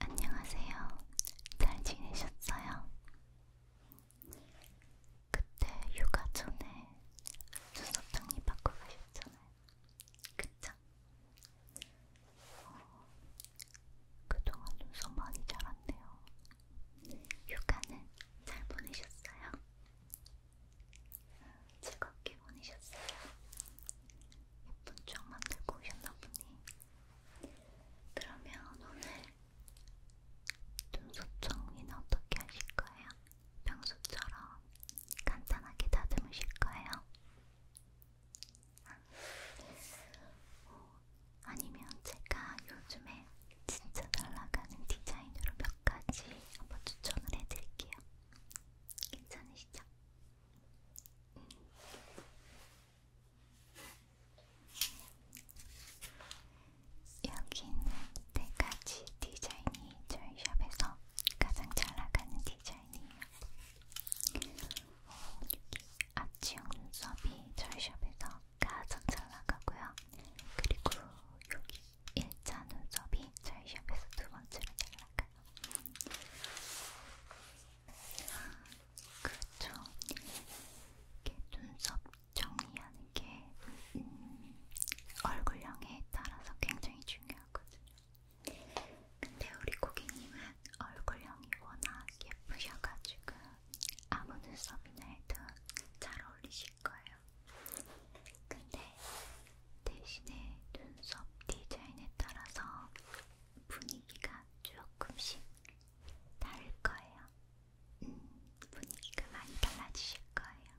안녕하세요. 잘 지내셨어요? 그때 휴가 전에 수석장님 바꿔 가셨잖아요. 그쵸? 어, 그동안 눈썹 많이 자랐네요. 휴가는 잘 보내셨어요? 즐겁게 보내셨어요? 예쁜 쪽 만들고 오셨나 보니 그러면 오늘 눈썹 정리는 어떻게 하실까요? 평소처럼 간단하게 다듬으실까요? 어, 아니면 제가 요즘에 진짜 날아가는 디자인으로 몇 가지 한번 추천을 해드릴게요. 괜찮으시죠? 여기는 네 가지 디자인이 저희 샵에서 가장 잘 나가는 디자인이에요. 어, 앞치형 눈썹이 저희 샵에서 가장 잘 나가고요. 그리고 여기 일자 눈썹이 저희 샵에서 두 번째로 잘 나가요. 그렇죠. 이렇게 눈썹 정리하는 게 음, 얼굴형에 따라서 굉장히 중요하거든요. 근데 우리 고객님은 얼굴형이 워낙 예쁘셔가지고 아무 눈썹이나 해도 잘 어울리실 거예요. 근데 대신에 눈썹 디자인에 따라서 분위기가 조금씩 다를 거예요. 음, 분위기가 많이 달라지실 거예요.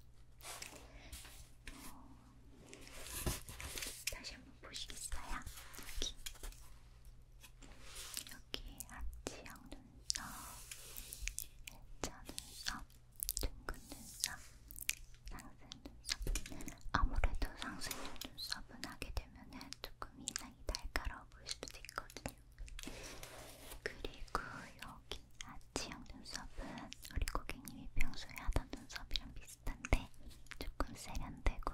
어, 다시 한번 보시겠어요? 여기. 여기 앞지형 눈썹, 일자 눈썹, 둥근 눈썹, 쌍꺼풀, 눈썹은 아무래도 상승의 눈썹은 하게 되면은 조금 인상이 날카로워 보일 수도 있거든요. 그리고 여기 아치형 눈썹은 우리 고객님이 평소에 하던 눈썹이랑 비슷한데 조금 세련되고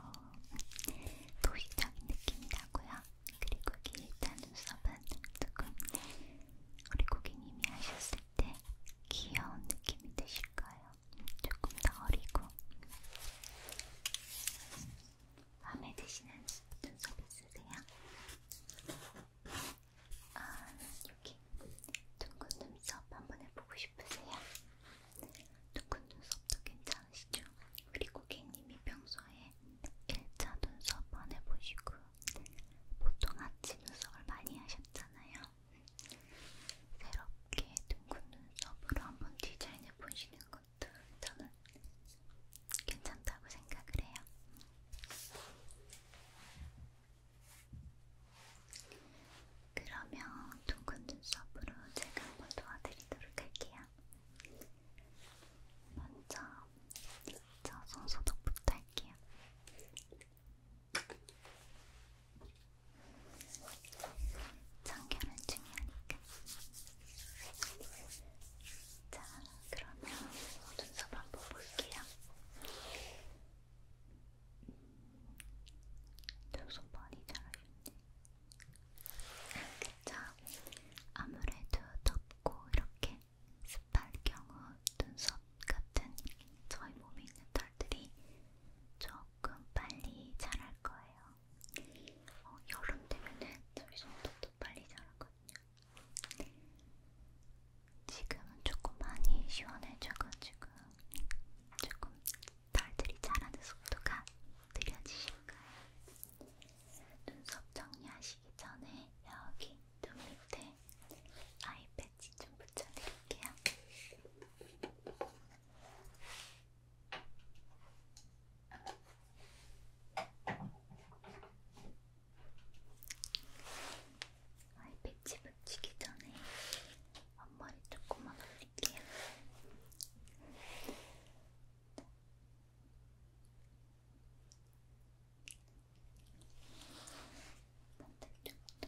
도시적인 느낌이 나고요. 그리고 길다 눈썹은 조금 우리 고객님이 하셨을 때 귀여운 느낌이 드실 거예요. 조금 더 어리고 마음에 드시는 눈썹 있으세요? 아, 여기 둥근 눈썹 한번 해보고 싶으세요? 둥근 눈썹도 괜찮으시죠? 그리고 개님이 평소에 일자 눈썹 안 해보시고 보통 아치 눈썹을 많이 하셨잖아요. 새롭게 둥근 눈썹으로 한번 디자인해 보시는 것도 저는 괜찮다고 생각을 해요. 그러면 둥근 눈썹으로 제가 한번 도와드리도록 할게요. 먼저 저 손소독부터 할게요. 청결은 중요하니까. 자, 그러면 눈썹 한번 볼게요. 눈썹 많이 자라셨네. 그쵸? 아무래도 덥고 이렇게 습할 경우 눈썹 같은 저희 몸에 있는 털들이 조금 빨리 자랄 거예요. 어, 여름 되면은 저희 정도도 빨리 자라거든요. 지금은 조금 많이 시원해져가지고 조금 달들이 자라는 속도가 느려지실 거예요. 눈썹 정리하시기 전에 여기 눈 밑에 아이 패치 좀 붙여드릴게요. 아이 패치 붙이기 전에 앞머리 조금만 올릴게요. 반대쪽도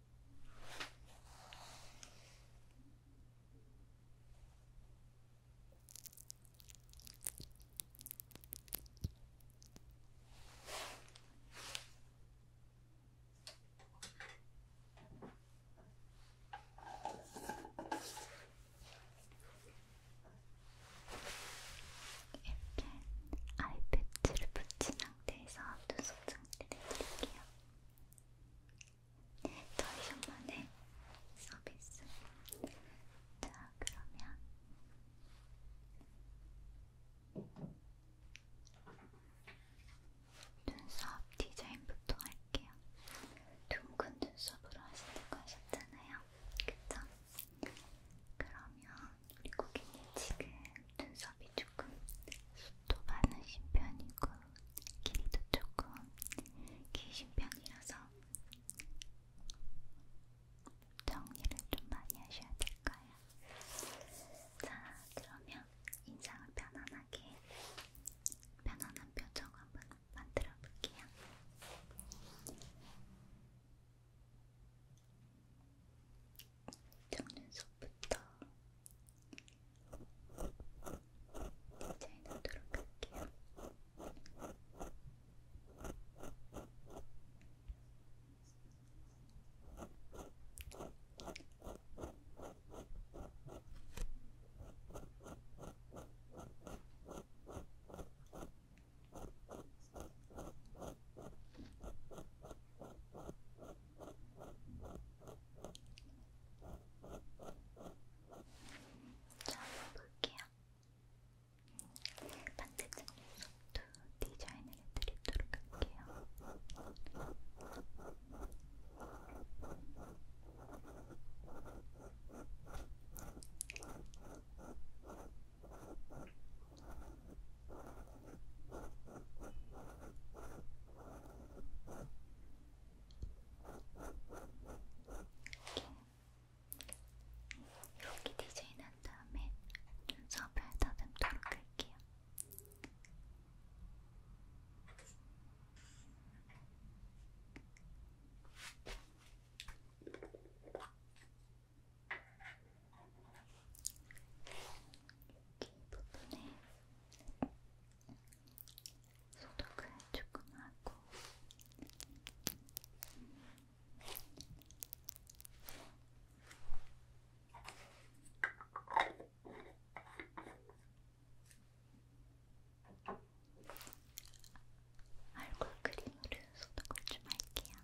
이렇게 아이패치를 붙인 상태에서 눈썹 상태를 해드릴게요. 네, 저희 샵만의 서비스. 자, 그러면 눈썹 디자인부터 할게요. 둥근 눈썹으로 하시는 거 하셨잖아요. 그쵸? 그러면 우리 고객님 지금 눈썹이 조금 숱도 많으신 편이고 길이도 조금 기신 편이라서 정리를 좀 많이 하셔야 될 거예요. 자, 그러면 인상을 편안하게 편안한 표정 한번 만들어 볼게요. 속눈썹부터 디자인 하도록 할게요. 볼게요. 반대쪽 눈썹도 디자인을 해드리도록 할게요. 자, 이렇게 디자인한 다음에 눈썹을 다듬도록 할게요. 이렇게 여기 부분에 소독을 조금 하고 얼굴 크림으로 소독을 좀 할게요.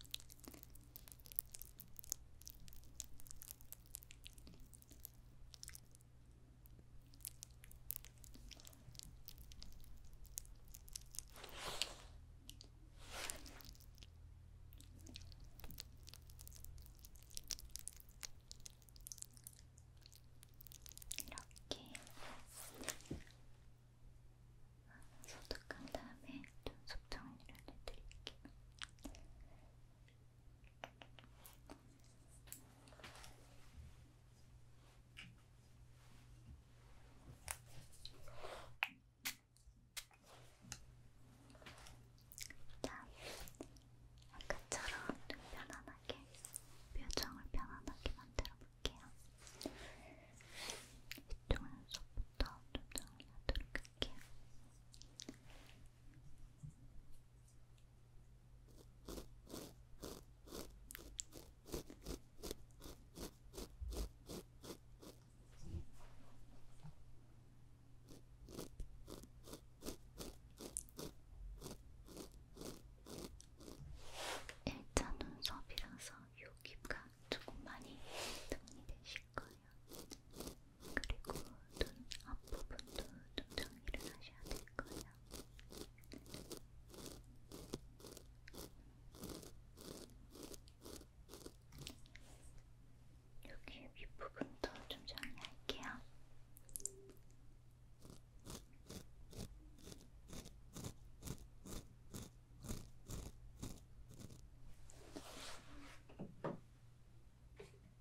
이렇게 소독한 다음에 눈썹 정리를 해드릴게요. 자, 아까처럼 좀 편안하게 표정을 편안하게 만들어 볼게요. 이쪽 눈썹부터 좀 정리하도록 할게요. 일자 눈썹이라서 요 깊가 조금 많이 정리되시고 하실 거예요. 그리고 눈 앞부분도 좀 정리를 하셔야 될 거예요. 여기 윗부분도 좀 정리할게요. 이렇게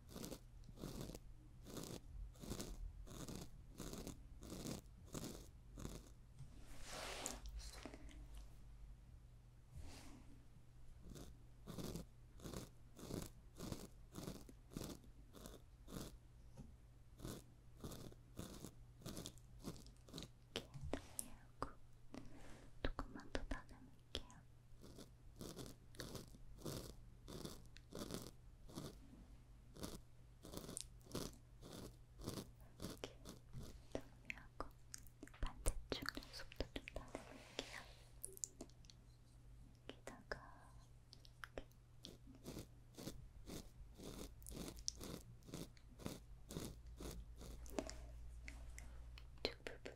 이렇게 정리하고 그 조금만 더 다듬을게요. 정리하고 반대쪽 눈썹도 좀 다듬을게요. 여기다가 이쪽 부분도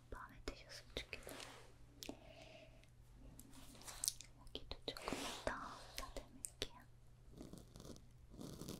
마음에 드셨으면 좋겠네요. 여기도 조금 더 다듬을게요. 이렇게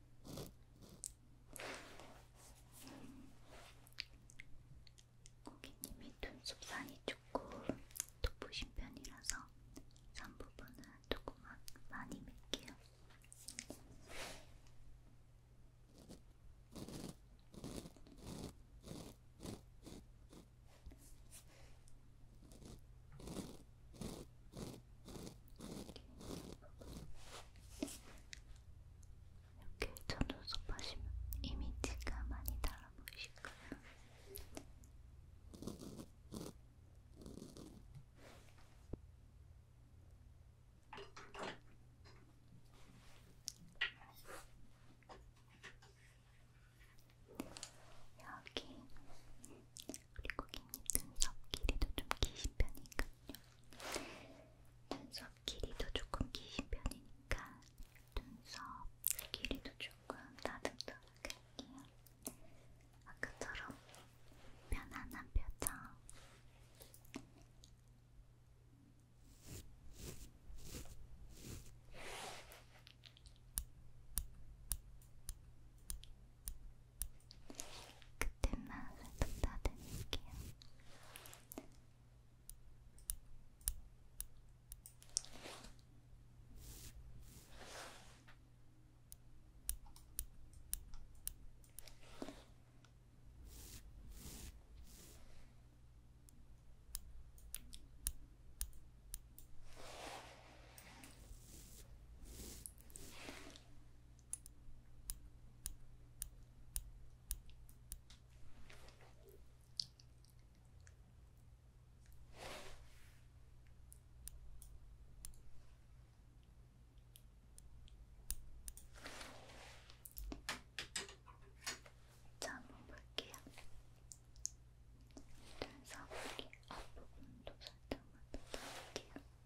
고객님이 눈썹산이 조금 돋보신 편이라서 산 부분은 조금만 많이 밀게요. 이렇게 이렇게 저 눈썹 하시면 이미지가 많이 달라 보이실까요? 여기 그리고 눈썹 길이도 좀 기신 편이니까요. 눈썹 길이도 조금 기신 편이니까 눈썹 길이도 조금 다듬도록 할게요. 아까처럼 편안한 표정. 그때 맛을 부탁드릴게요. 잠을 볼게요. 눈썹 앞부분도 살짝만 더 볼게요.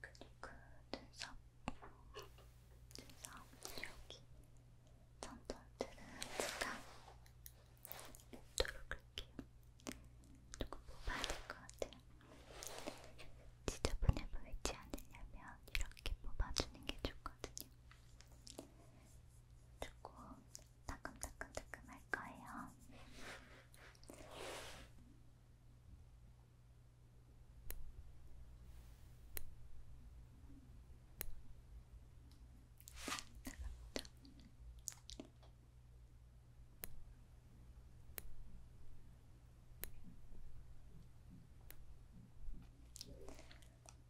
그리고 눈썹, 눈썹 여기 전선들은 제가 립도록 할게요. 조금 뽑아야 될 것 같아요. 지저분해 보이지 않으려면 이렇게 뽑아주는 게 좋거든요. 두고 따끔따끔따끔 할 거예요.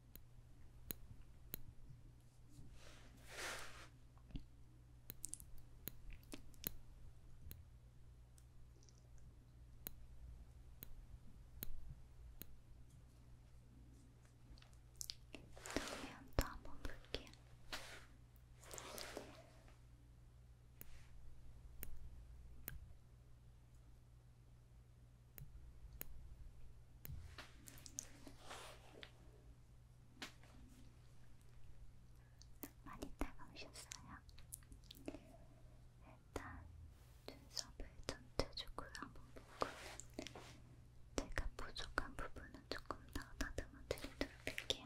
정면 또 한번 볼게요. 많이 따가우셨어요? 일단 눈썹을 전체적으로 한번 보고 제가 부족한 부분은 조금 더 다듬어 드리도록 할게요.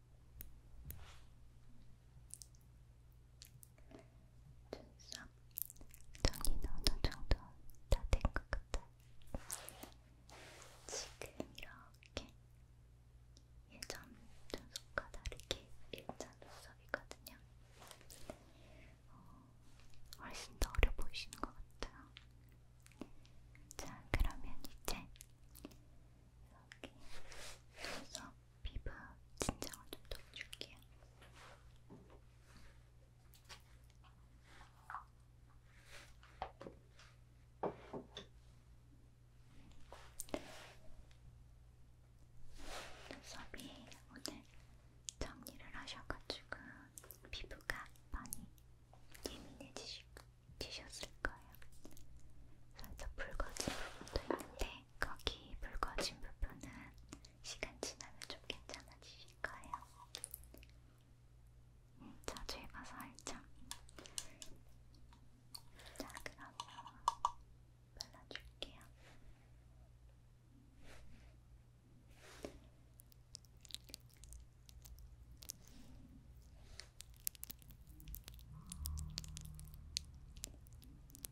눈썹 정리는 어느 정도 다 된 것 같아. 지금 이렇게 예전 눈썹과 다르게 일자 눈썹이거든요. 어, 훨씬 더 어려 보이시는 것 같아요. 자, 그러면 이제 여기 눈썹 피부 진정을 좀 도와줄게요. 눈썹이 오늘 정리를 하셔가지고 피부가 많이 예민해지셨을 거예요. 살짝 붉어진 부분도 있는데 근데 거기 붉어진 부분은 시간 지나면 좀 괜찮아지실 거예요. 음, 자주 해봐서 알죠? 자, 그러면 발라줄게요.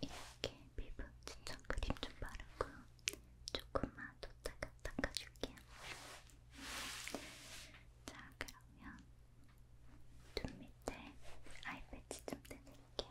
이렇게 피부 진정 크림 좀 바르고 조금만 뒀다가 닦아줄게요. 자, 그러면 눈 밑에 아이 패치 좀 떼드릴게요.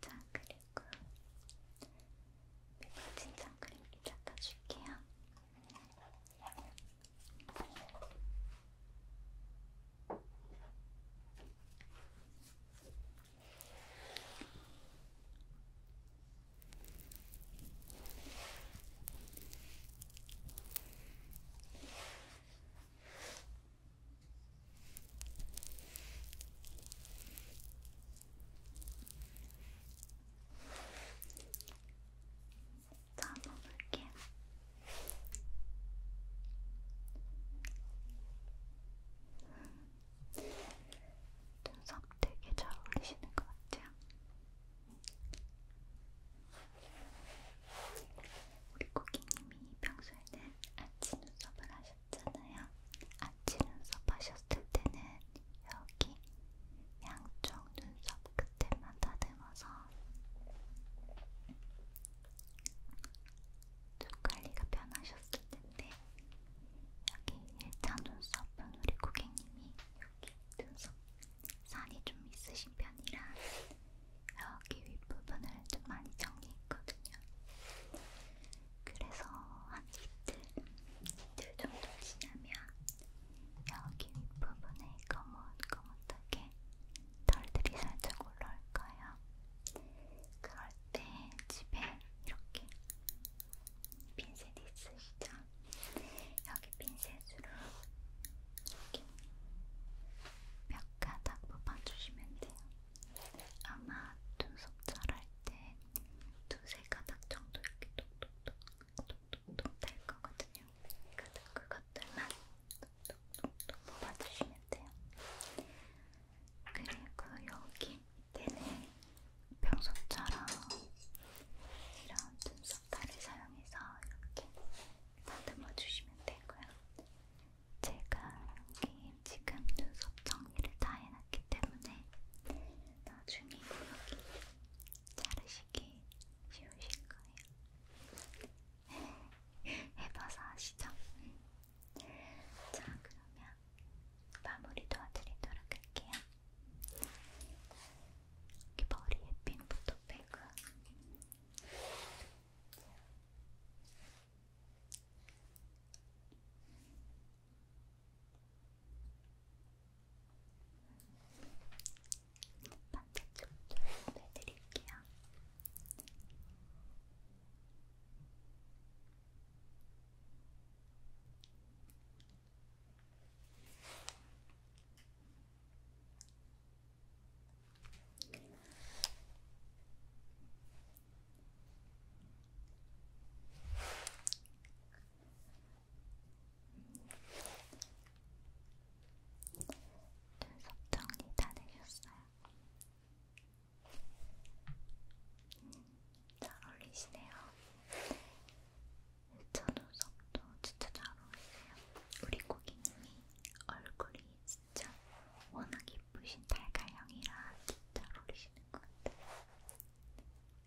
자, 그리고 미발진 네 장크림기 닦아줄게요. 자, 잡아볼게요. 눈썹 되게 잘 어울리시는 것 같아요. 우리 고객님이 평소에는 아치 눈썹을 하셨잖아요. 아치 눈썹 하셨을 때는 여기 양쪽 눈썹 끝에만 다듬어서 눈 관리가 편하셨을 텐데 여기 1차 눈썹은 우리 고객님이 여기 눈썹 산이 좀 있으신 편이라 여기 윗부분을 좀 많이 정리했거든요. 그래서 한 이틀, 이틀 정도 지나면 여기 윗부분에 거뭇거뭇하게 털들이 살짝 올라올 거예요. 그럴 때 집에 이렇게 핀셋 있으시죠? 여기 핀셋으로 이렇게 몇 가닥 뽑아주시면 돼요. 아마 눈썹 자랄 때 두세 가닥 정도 이렇게 톡톡톡톡톡톡 될 거거든요. 그래서 그것들만 톡톡톡톡 뽑아주시면 돼요. 그리고 여기 밑에는 평소처럼 이런 눈썹 다를 사용해서 이렇게 다듬어 주시면 되고요. 제가 여기 지금 눈썹 정리를 다 해놨기 때문에 나중에 여기 자르시기 쉬우실 거예요. 해봐서 아시죠? 응. 자, 그러면 마무리 도와드리도록 할게요. 이렇게 머리에 핀부터 빼고 반대쪽도 해드릴게요. 네. 눈썹 정리 다 되셨어요? 음, 잘 어울리시네요. 저 눈썹도 진짜 잘 어울리세요. 우리 고객님이 얼굴이 진짜 워낙 이쁘신 달걀형이라 진짜 어울리시는 것 같아요.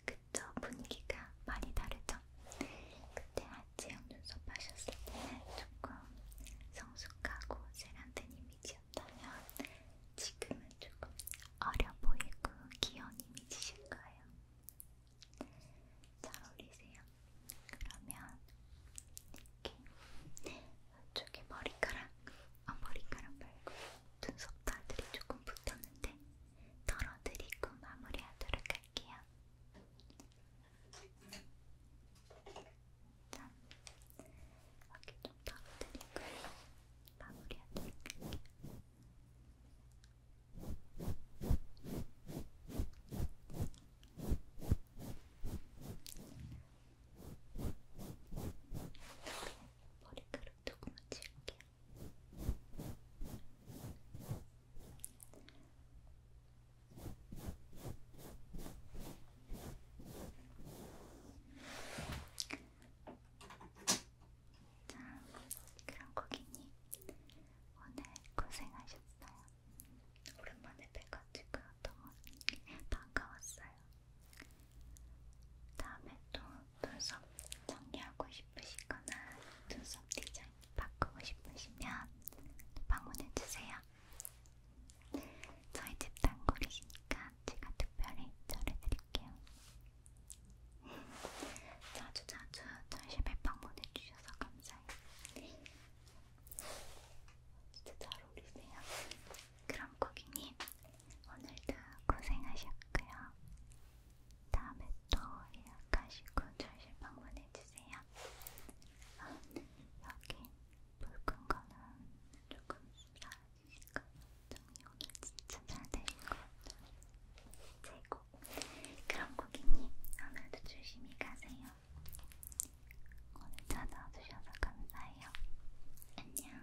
그쵸? 분위기가 많이 다르죠? 그때 아지영 눈썹 하셨을 때는 조금 성숙하고 세련된 이미지였다면 지금은 조금 어려 보이고 귀여운 이미지실 거예요. 잘 어울리세요. 그러면 이렇게 이쪽에 머리카락, 어, 머리카락 말고 눈썹다들이 조금 붙었는데 덜어드리고 마무리하도록 할게요. 자, 이렇게 좀 덜어드리고 마무리하도록 할게요. 이렇게 머리카락 조금만 지울게요. 자, 그럼 고객님 오늘 고생하셨어요. 오랜만에 뵈가지고 너무 반가웠어요. 다음에 또 눈썹 정리하고 싶으시거나 눈썹 디자인 바꾸고 싶으시면 방문해주세요. 저희 집 단골이시니까 제가 특별히 전해드릴게요. 자주자주 저희 집에 방문해주셔서 감사해요. 진짜 잘 어울리세요. 그럼 고객님, 오늘도 고생하셨고요. 다음에 또 예약하시고 전실 방문해주세요. 아, 네. 여기 붉은 거는 조금 사라지니까 정리 오늘 진짜 잘 되실 것 같아요. 최고. 그럼 고객님, 오늘도 조심히 가세요. 오늘 찾아주셔서 감사해요. 안녕.